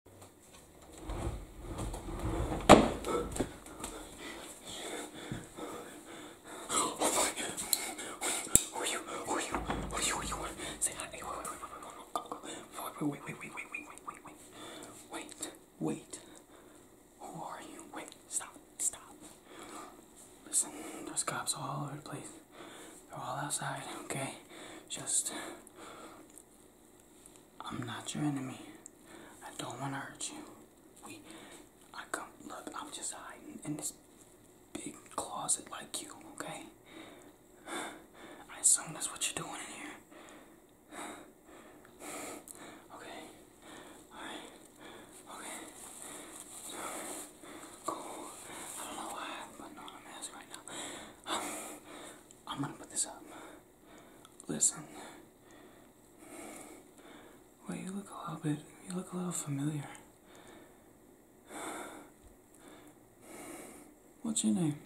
wait, wait, wait, wait, wait, wait, wait, wait, wait, wait. Who are you? Wait, stop, stop. Listen, there's cops all over the place. They're all outside, okay? Just I'm not your enemy. I don't want to hurt you. We, I come, look, I'm just hiding in this big closet like you, okay? I assume that's what you're doing in here. Okay. Alright. Okay. Cool. I don't know why, I'm asking right now. I'm gonna put this up. Listen. Wait, you look a little bit, you look a little familiar. What's your name?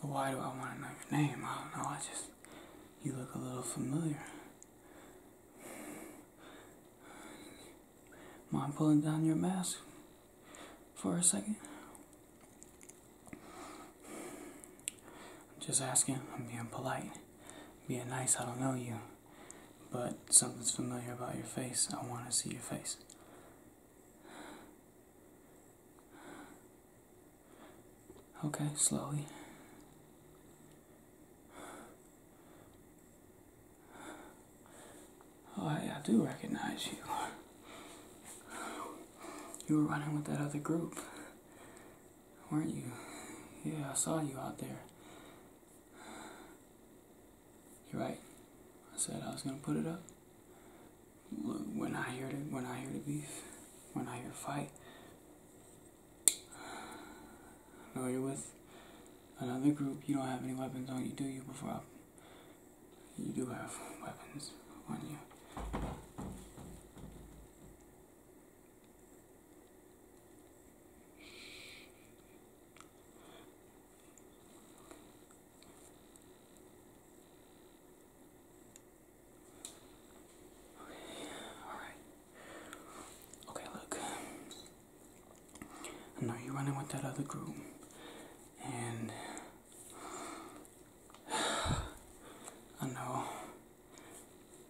why do I want to know your name? I don't know, I just, you look a little familiar. Mind pulling down your mask? for a second. Just asking, I'm being polite, being nice, I don't know you, but something's familiar about your face, I want to see your face. Okay, slowly. Oh, I, I do recognize you. You were running with that other group, weren't you? Yeah, I saw you out there. You're right. I said I was gonna put it up. Look, when I hear it, when I hear the beef, when I hear fight, No, you're with another group. You don't have any weapons on you, do you? Before I you do have weapons on you. Okay, all right. Okay, look. And now you're running with that other group. And I know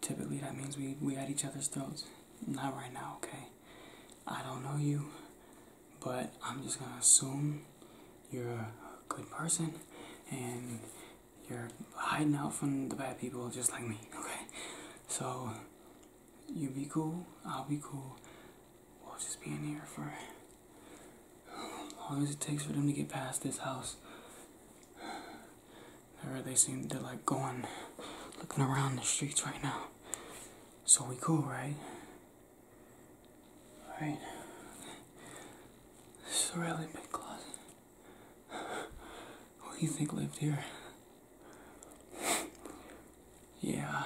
typically that means we, we at each other's throats. Not right now, okay? I don't know you, but I'm just gonna assume you're a good person and you're hiding out from the bad people just like me, okay? So you be cool, I'll be cool. We'll just be in here for as long as it takes for them to get past this house. They really seem to like going, looking around the streets right now. So we cool, right? Alright. This is a really big closet. What do you think lived here? yeah.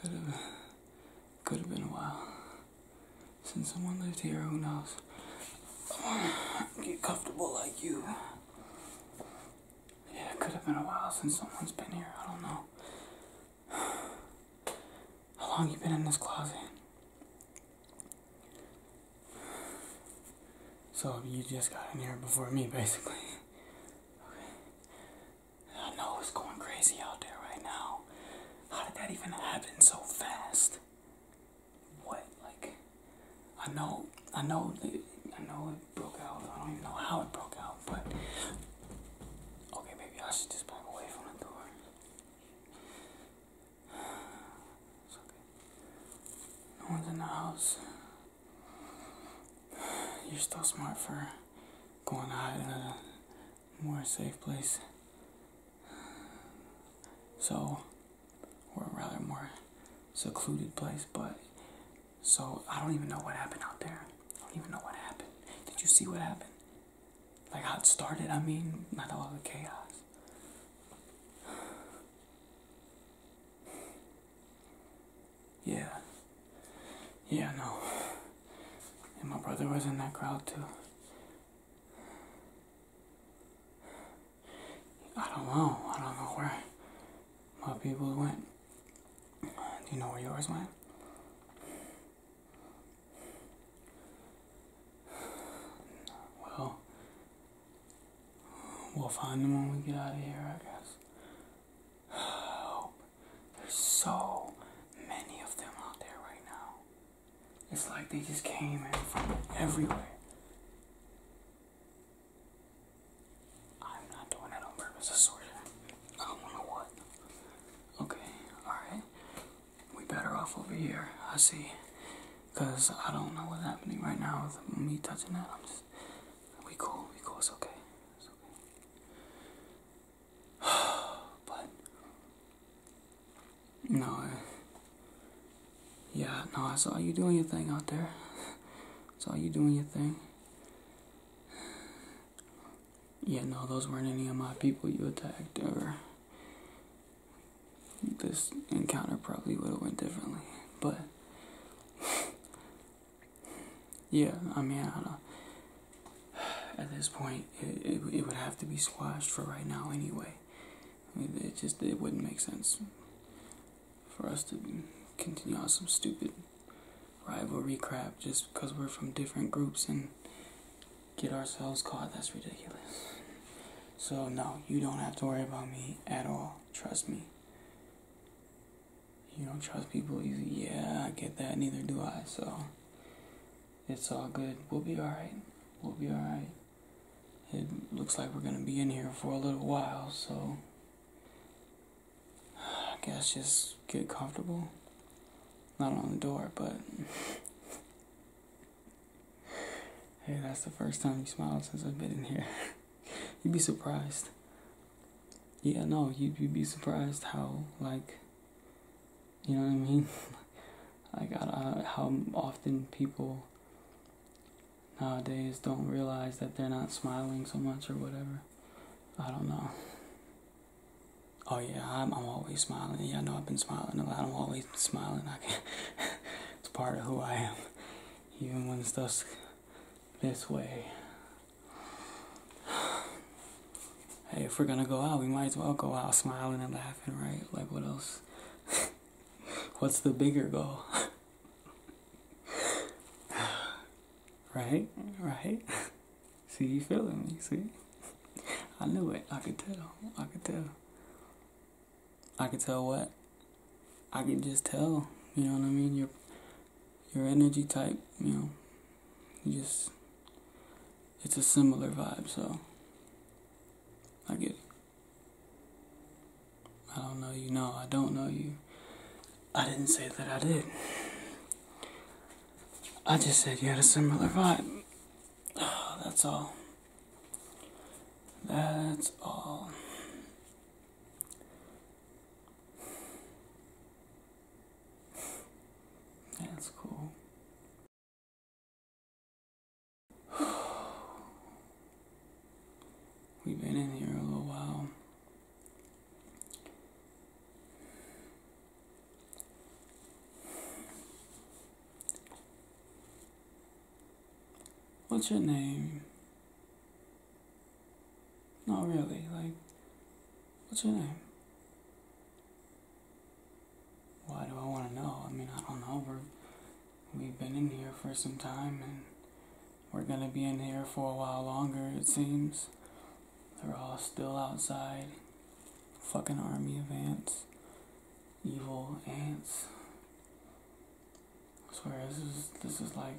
Could have, could have been a while since someone lived here. Who knows? Get comfortable like you. Yeah, it could have been a while since someone's been here. I don't know. How long you been in this closet? So you just got in here before me, basically. I know it's going crazy out there right now. How did that even happen so fast? What, like, I know, I know, I know it broke out. I don't even know how it broke out, but okay, maybe I should just back away from the door. It's okay. No one's in the house. You're still smart for going out in a more safe place. So, or rather, more secluded place, but so I don't even know what happened out there. I don't even know what happened. Did you see what happened? Like how it started? I mean, not all the chaos. Yeah. Yeah, no. And my brother was in that crowd too. I don't know. I don't know where my people went. Do you know where yours went? Well, we'll find them when we get out of here, I guess. There's so many of them out there right now. It's like they just came in from everywhere. I'm not doing it on purpose, I swear to I don't know what. Okay, alright. We better off over here, I see. Cause I don't know what's happening right now with me touching that. I'm just we cool, we cool, it's okay. but no, I, yeah, no, I saw you doing your thing out there. saw you doing your thing. Yeah, no, those weren't any of my people you attacked, this encounter probably would have went differently. But yeah, I mean, at this point, it, it, would have to be squashed for right now anyway. it just it wouldn't make sense for us to continue on some stupid rivalry crap just because we're from different groups and get ourselves caught. That's ridiculous. So, no, you don't have to worry about me at all. Trust me you don't trust people easy. Yeah, I get that. Neither do I. So it's all good. We'll be alright. We'll be alright. It looks like we're going to be in here for a little while. So I guess just get comfortable. Not on the door, but. hey, that's the first time you smiled since I've been in here. you'd be surprised. Yeah, no, you you'd be surprised how like, you know what I mean. like I, I, how often people nowadays don't realize that they're not smiling so much or whatever. I don't know. Oh yeah, I'm, I'm always smiling. Yeah, I know I've been smiling a lot. I'm always smiling. I can it's part of who I am, even when stuff's this way hey, if we're gonna go out, we might as well go out smiling and laughing, right? Like, what else? What's the bigger goal? right? Right? see, you feeling me, see? I knew it. I could tell. I could tell. I could tell what? I can just tell, you know what I mean? Your your energy type, you know, you just it's a similar vibe, so I get it. I don't know you, no, I don't know you. I didn't say that I did. I just said you had a similar vibe. that's all. That's all. That's cool. We've been in here a little while. What's your name? Not really. Like, what's your name? Why do I want to know? I mean, I don't know. We're, we've been in here for some time, and we're gonna be in here for a while longer, it seems. They're all still outside. Fucking army of ants. Evil ants. I swear this is this is like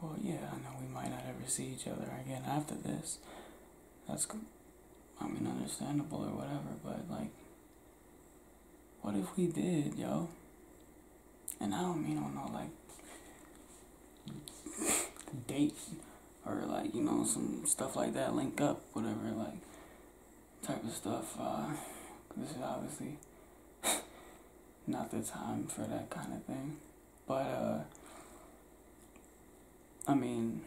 Well yeah, I know we might not ever see each other again after this. That's I mean understandable or whatever, but like what if we did, yo? And I don't mean on no like dates or like you know some stuff like that link up whatever like type of stuff uh, this is obviously not the time for that kind of thing but uh, i mean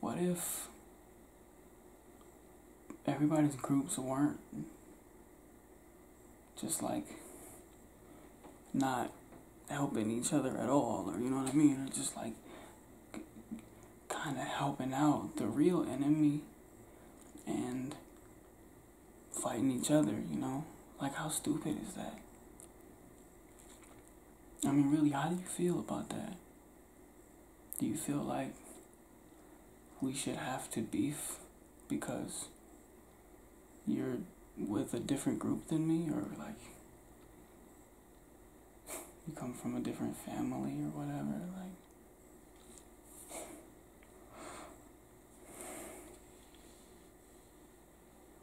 what if everybody's groups weren't just like not helping each other at all, or you know what I mean, or just like kind of helping out the real enemy and fighting each other, you know? Like, how stupid is that? I mean, really, how do you feel about that? Do you feel like we should have to beef because you're with a different group than me, or like you come from a different family or whatever, like.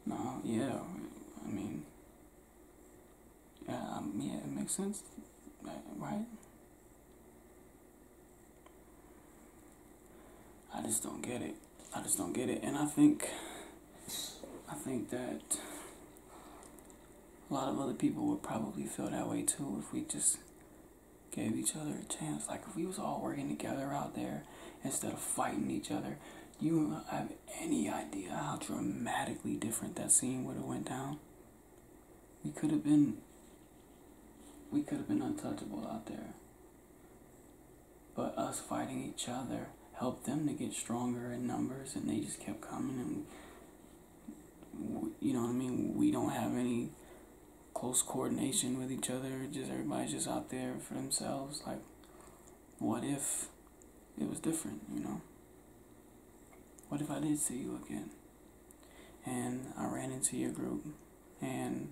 No, yeah, I mean, yeah, um, yeah, it makes sense, right? I just don't get it. I just don't get it. And I think I think that a lot of other people would probably feel that way too if we just gave each other a chance. Like if we was all working together out there instead of fighting each other, you have any idea how dramatically different that scene would have went down. We could have been we could have been untouchable out there. But us fighting each other helped them to get stronger in numbers, and they just kept coming. And you know what I mean? We don't have any close coordination with each other. Just everybody's just out there for themselves. Like, what if it was different? You know? What if I did see you again? And I ran into your group, and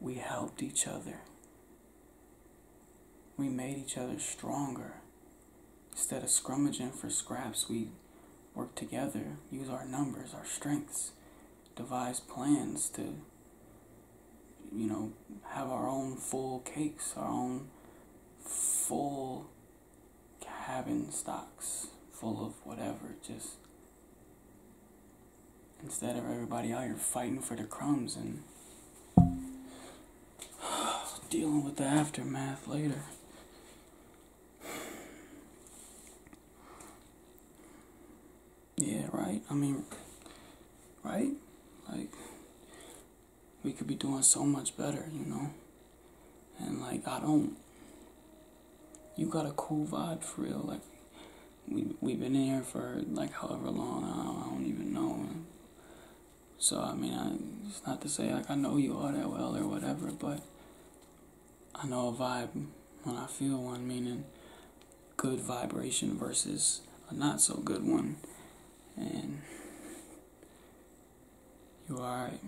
we helped each other. We made each other stronger. Instead of scrummaging for scraps, we worked together, used our numbers, our strengths, devised plans to, you know, have our own full cakes, our own full cabin stocks full of whatever, just Instead of everybody out here fighting for the crumbs and dealing with the aftermath later. Yeah, right? I mean, right? Like, we could be doing so much better, you know? And, like, I don't you got a cool vibe for real. Like we we've been in here for like however long. I don't, even know. So I mean, it's not to say like I know you all that well or whatever, but I know a vibe when I feel one. Meaning good vibration versus a not so good one, and you alright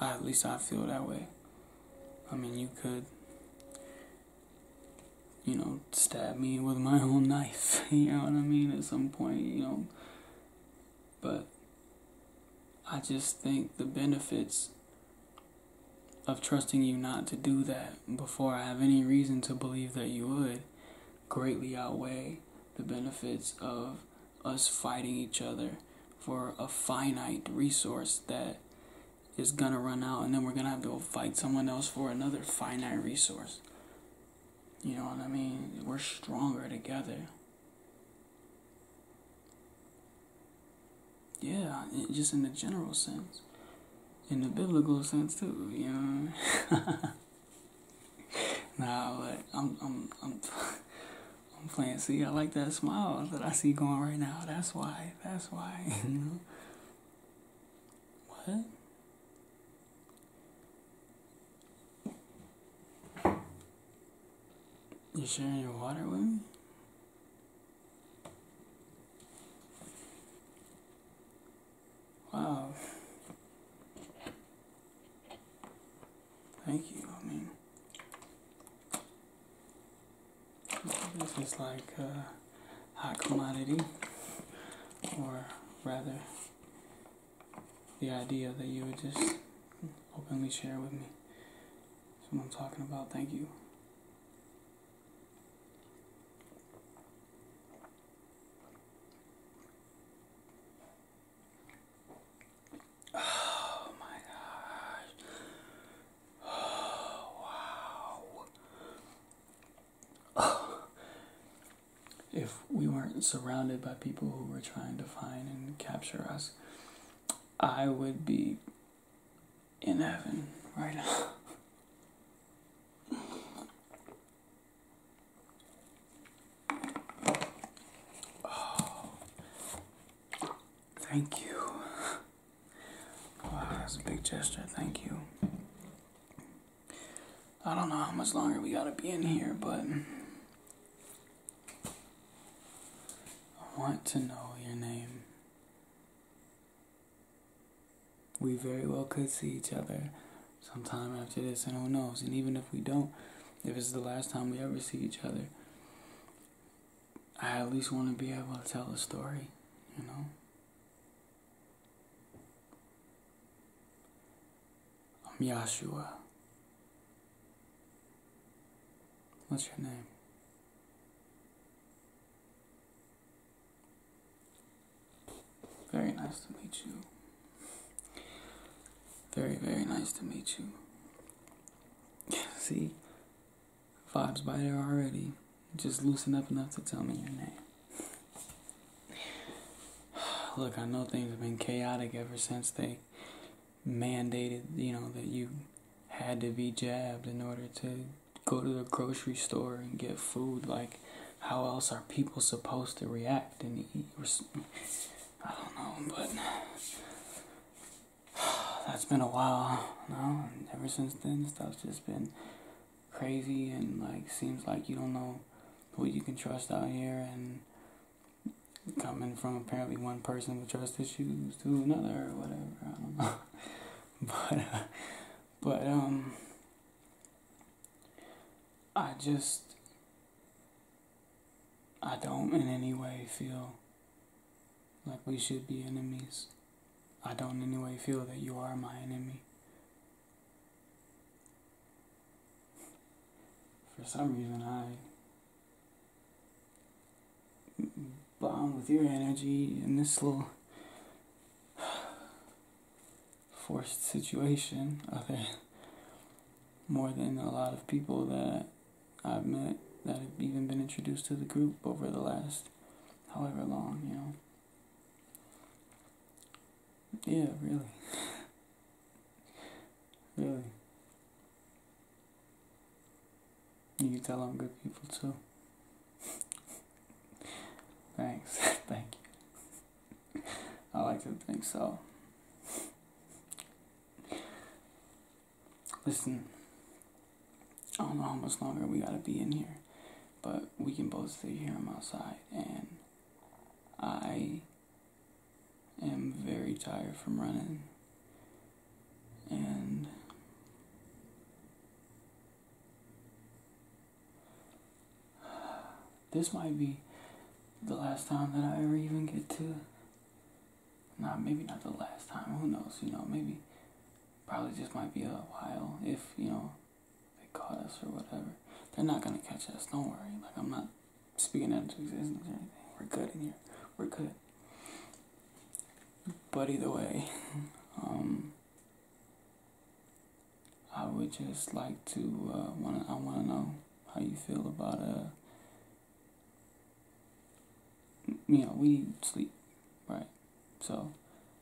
at least I feel that way. I mean, you could, you know, stab me with my own knife, you know what I mean, at some point, you know. But I just think the benefits of trusting you not to do that before I have any reason to believe that you would greatly outweigh the benefits of us fighting each other for a finite resource that that is gonna run out, and then we're gonna have to go fight someone else for another finite resource. You know what I mean? We're stronger together. Yeah, just in the general sense, in the biblical sense too. You know. nah, like I'm, I'm, I'm. I'm playing. See, I like that smile that I see going right now. That's why. That's why. You mm-hmm. What? You sharing your water with me? Wow. Thank you. I mean, this is like a uh, hot commodity, or rather, the idea that you would just openly share with me. That's what I'm talking about. Thank you. Oh my gosh. Oh wow. Oh. If we weren't surrounded by people who were trying to find and capture us, I would be in heaven right now. Thank you. Wow, that's a big gesture. Thank you. I don't know how much longer we gotta be in here, but I want to know your name. We very well could see each other sometime after this, and who knows? And even if we don't, if it's the last time we ever see each other, I at least want to be able to tell a story, you know? I'm Yahshua. What's your name? Very nice to meet you. Very, very nice to meet you. See? Vibes by there already. Just loosen up enough to tell me your name. Look, I know things have been chaotic ever since they mandated, you know, that you had to be jabbed in order to go to the grocery store and get food. Like, how else are people supposed to react and eat? I don't know, but that's been a while now. And ever since then, stuff's just been crazy and like seems like you don't know who you can trust out here. And coming from apparently one person with trust issues to another or whatever. I don't know. but uh, but um, I just I don't in any way feel like we should be enemies. I don't in any way feel that you are my enemy. For some reason, I bond with your energy in this little forced situation other more than a lot of people that I've met that have even been introduced to the group over the last however long, you know. Yeah, really. really. You tell I'm good people too. Thanks. Thank you. I like to think so. Listen, I don't know how much longer we gotta be in here, but we can both stay here. on am outside, and I am very tired from running, and this might be the last time that I ever even get to not maybe not the last time. Who knows? You know, maybe probably just might be a while if you know they caught us or whatever. They're not gonna catch us. Don't worry. Like I'm not speaking out into existence or anything. We're good in here. We're good. But either way, um, I would just like to uh, want I want to know how you feel about uh you know, we sleep, right? So,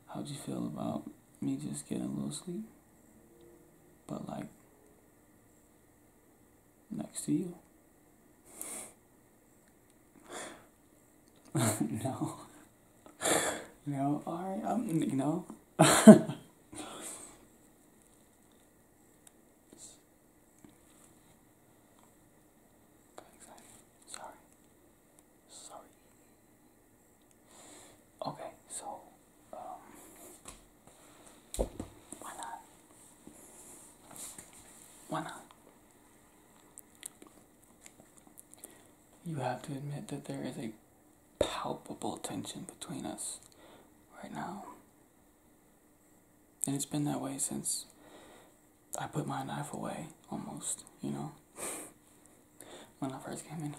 how'd you feel about me just getting a little sleep? But, like, next to you? no. no, alright, I'm, you know. Sorry. Sorry. Okay, so um why not? Why not? You have to admit that there is a palpable tension between us right now. And it's been that way since I put my knife away, almost, you know, when I first came in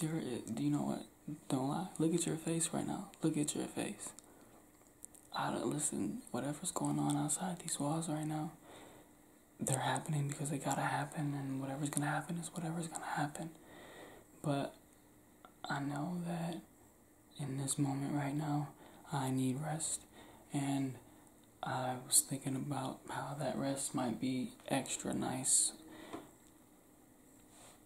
here. do you know what? Don't lie. Look at your face right now. Look at your face. I don't listen. Whatever's going on outside these walls right now, they're happening because they gotta happen, and whatever's gonna happen is whatever's gonna happen. But I know that in this moment right now, I need rest, and I was thinking about how that rest might be extra nice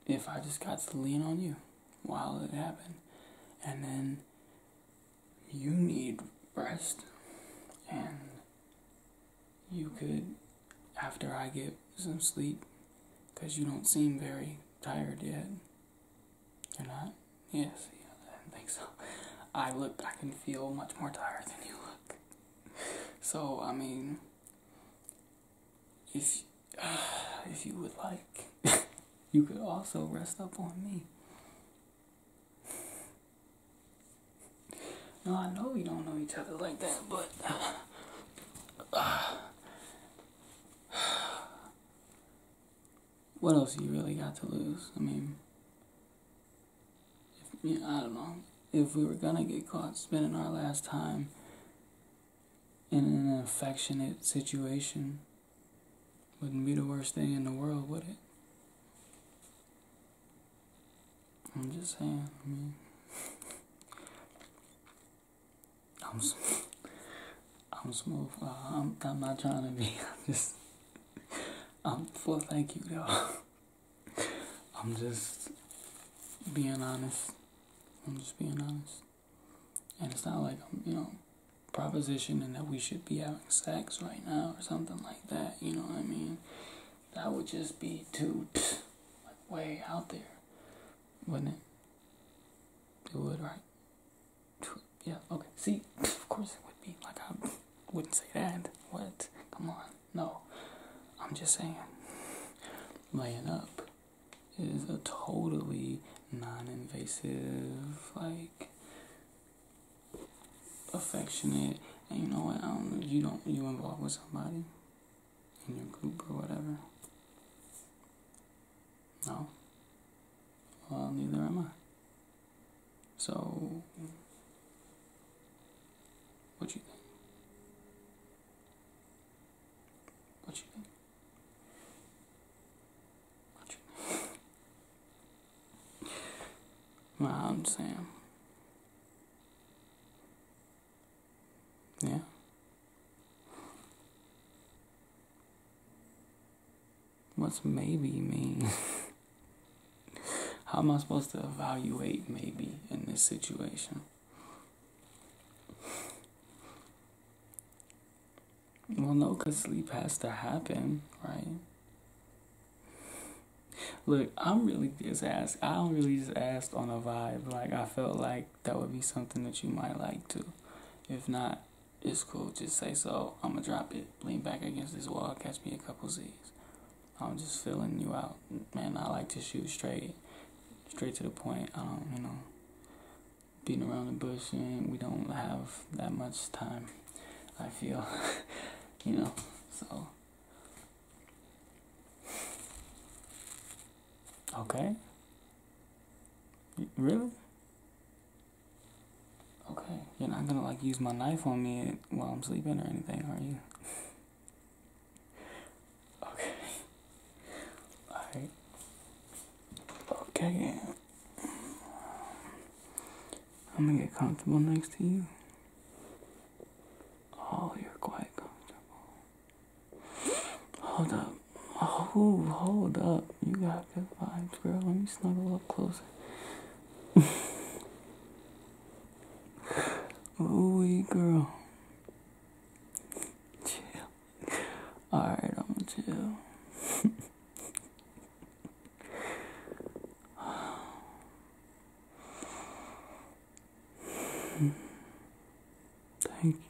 if I just got to lean on you while it happened. And then you need rest, and you could, after I get some sleep, because you don't seem very tired yet. You're not? Yes, yeah, I think so. I look, I can feel much more tired than you look. So, I mean, if, if you would like, you could also rest up on me. No, I know we don't know each other like that, but uh, what else you really got to lose? I mean, if, I don't know. If we were gonna get caught spending our last time in an affectionate situation, wouldn't be the worst thing in the world, would it? I'm just saying. I mean, I'm, I'm smooth. Uh, I'm, I'm not trying to be. I'm just. I'm full. Thank you, though. I'm just being honest. I'm just being honest. And it's not like I'm, you know, propositioning that we should be having sex right now or something like that. You know what I mean? That would just be too, like, way out there. Wouldn't it? It would, right? Yeah, okay. See, of course it would be. Like, I wouldn't say that. What? Come on. No. I'm just saying, laying up is a totally non invasive, like, affectionate. And you know what? I don't, you don't, you involved with somebody in your group or whatever? No? Well, neither am I. So, what do you think? What you think? What you think? well, Sam. Yeah. What's maybe mean? How am I supposed to evaluate maybe in this situation? Well, no, because sleep has to happen, right? Look, I'm really just asked. I don't really just asked on a vibe. Like I felt like that would be something that you might like to. If not, it's cool. Just say so. I'm gonna drop it. Lean back against this wall. Catch me a couple Z's. I'm just filling you out, man. I like to shoot straight, straight to the point. I don't, you know, beating around the bush, and we don't have that much time. I feel, you know, so Okay. Really? Okay. You're not gonna like use my knife on me while I'm sleeping or anything, are you? okay. Alright. Okay. I'm gonna get comfortable next to you. Oh, you're quite comfortable. Hold up. Oh, hold up. You got good vibes, girl. Let me snuggle up closer. Ooh, girl. Chill. Alright, I'm gonna chill. Thank you.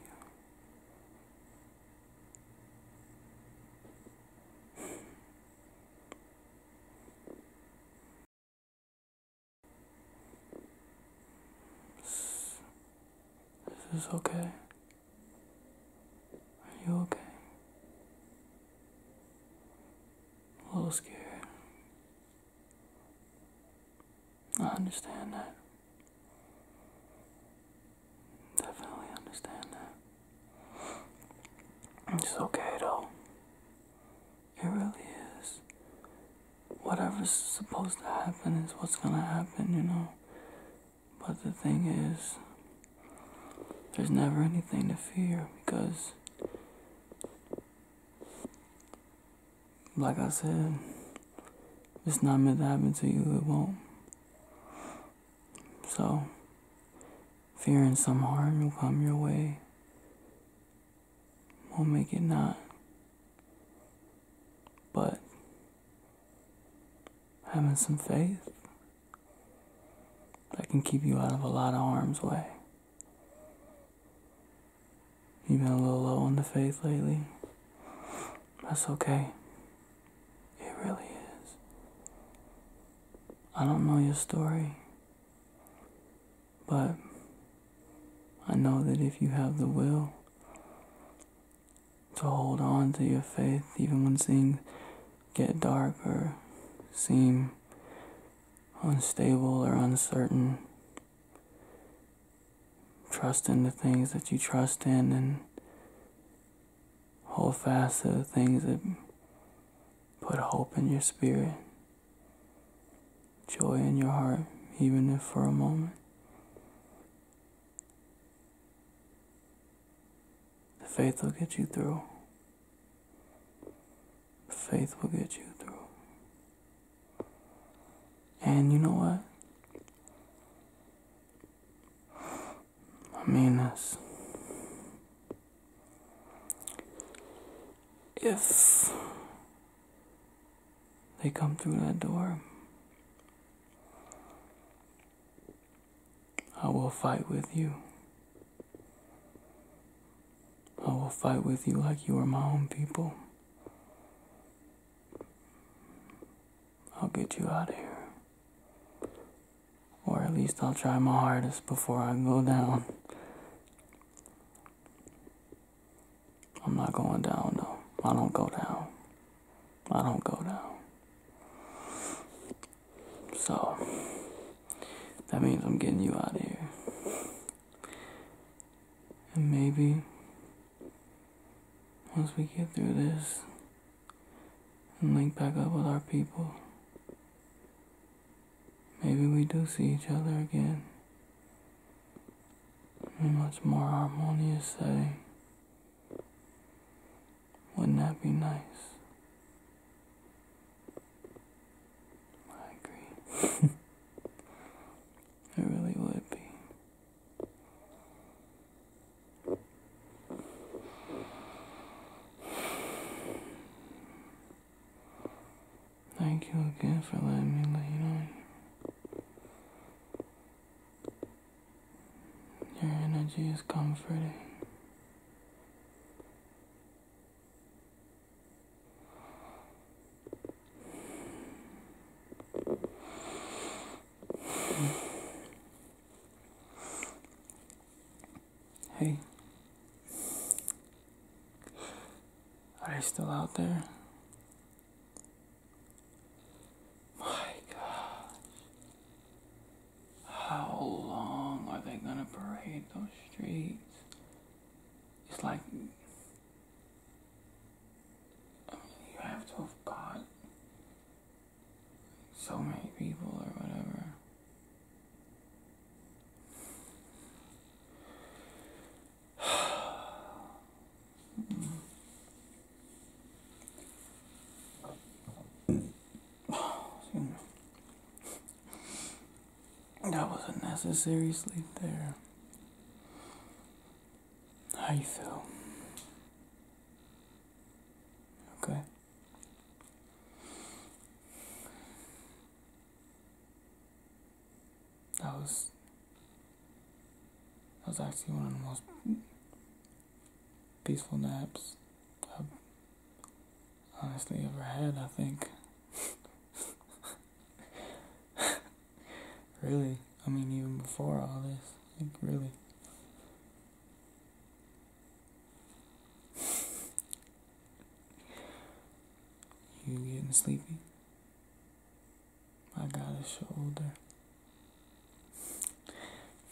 Is okay? Are you okay? a little scared. I understand that. Definitely understand that. It's okay though. It really is. Whatever's supposed to happen is what's gonna happen, you know. But the thing is, there's never anything to fear because like I said, it's not meant to happen to you, it won't. So, fearing some harm will come your way will not make it not. But having some faith that can keep you out of a lot of harm's way. You've been a little low on the faith lately. That's okay. It really is. I don't know your story, but I know that if you have the will to hold on to your faith, even when things get dark or seem unstable or uncertain, Trust in the things that you trust in and hold fast to the things that put hope in your spirit, joy in your heart, even if for a moment. The faith will get you through. The faith will get you through. And you know what? I mean this. If they come through that door, I will fight with you. I will fight with you like you are my own people. I'll get you out of here. Or at least I'll try my hardest before I go down. I'm not going down, though. I don't go down. I don't go down. So, that means I'm getting you out of here. And maybe once we get through this and link back up with our people, maybe we do see each other again in much more harmonious setting. Wouldn't that be nice? I agree. it really would be. Thank you again for letting me let you Your energy is comforting. Hey. Are they still out there? My gosh. How long are they gonna parade those streets? it's like you have to have got so many people or whatever. That was a necessary sleep there. How you feel? Okay. That was that was actually one of the most peaceful naps I've honestly ever had, I think. really, I mean, even before all this, like, really. you getting sleepy? I got a shoulder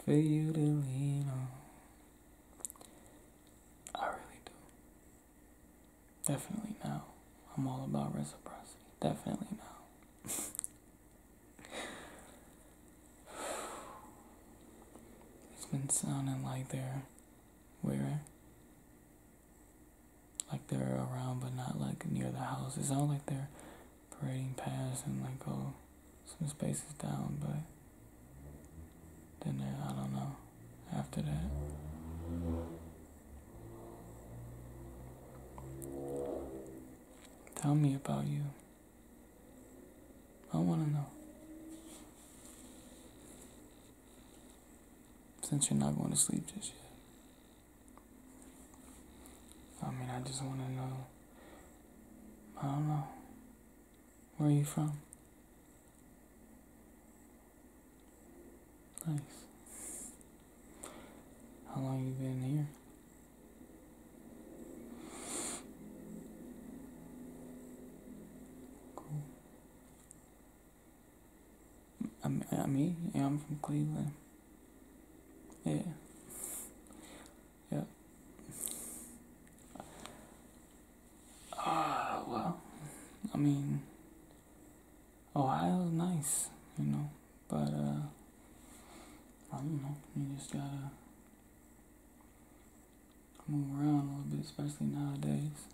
for you to lean on. I really do. Definitely no. I'm all about reciprocity. Definitely no. it's been sounding like they're where? Like they're around but not like near the house. It sounds like they're parading past and like oh some spaces down but then uh, I don't know. After that. Tell me about you. I want to know. Since you're not going to sleep just yet. I mean, I just want to know. I don't know. Where are you from? Nice. How long you been here? Cool. I'm, i me? Yeah, I'm from Cleveland. Yeah. Yeah. Ah, well, I mean, Ohio's nice, you know, but, uh, I don't know, you just gotta move around a little bit, especially nowadays.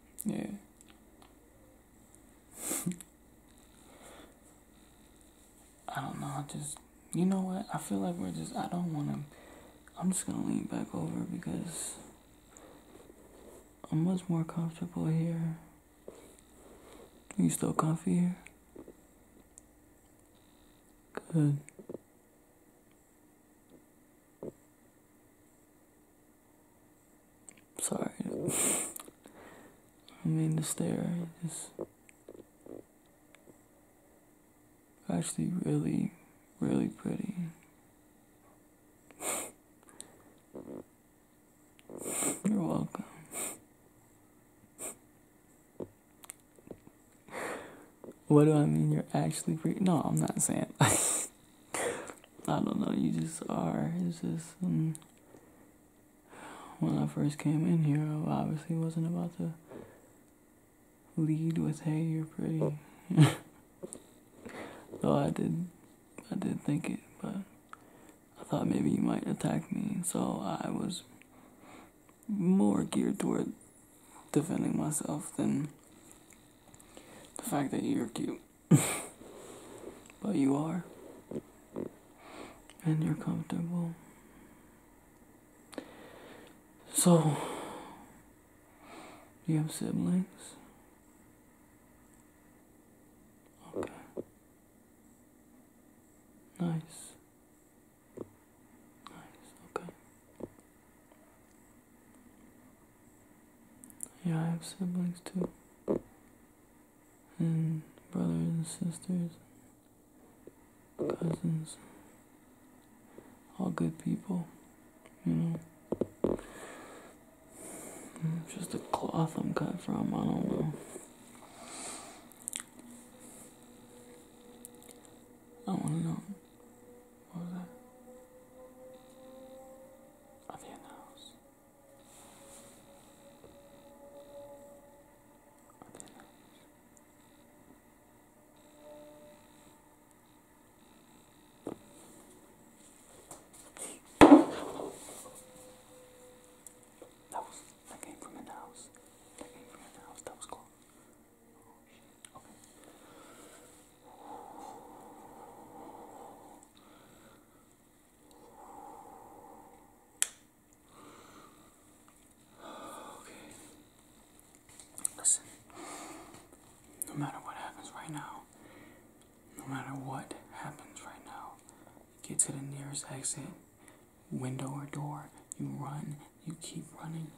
yeah. I don't know, I just you know what? I feel like we're just, I don't want to, I'm just going to lean back over because I'm much more comfortable here. Are you still comfy here? Good. Sorry. I mean to stare. Just actually really, really pretty. You're welcome. What do I mean you're actually pretty? No, I'm not saying. I don't know, you just are. It's just. Mm. when I first came in here, I obviously wasn't about to lead with "Hey, you're pretty." Oh. Though I did, I did think it, but I thought maybe you might attack me, so I was more geared toward defending myself than the fact that you're cute. but you are, and you're comfortable, so, you have siblings? Okay. Nice. Nice, okay. Yeah, I have siblings too. And brothers and sisters cousins, all good people, you know. just a cloth I'm cut from, I don't know. I wanna know. What was that? Are they in in the house? That was that came from in the house. That came from in the house. That was cool. Oh shit. Okay. Okay. Listen. No matter what happens right now, no matter what happens right now, get to the nearest exit, window or door. You run, you keep running.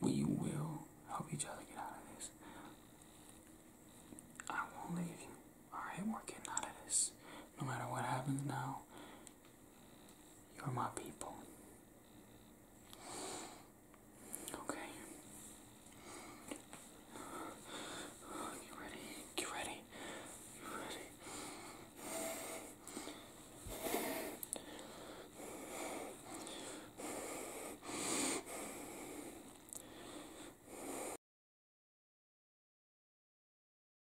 We will help each other get out of this. I won't leave you. Alright, we're getting out of this. No matter what happens now, you're my people. Okay. Get ready. Get ready. Get ready.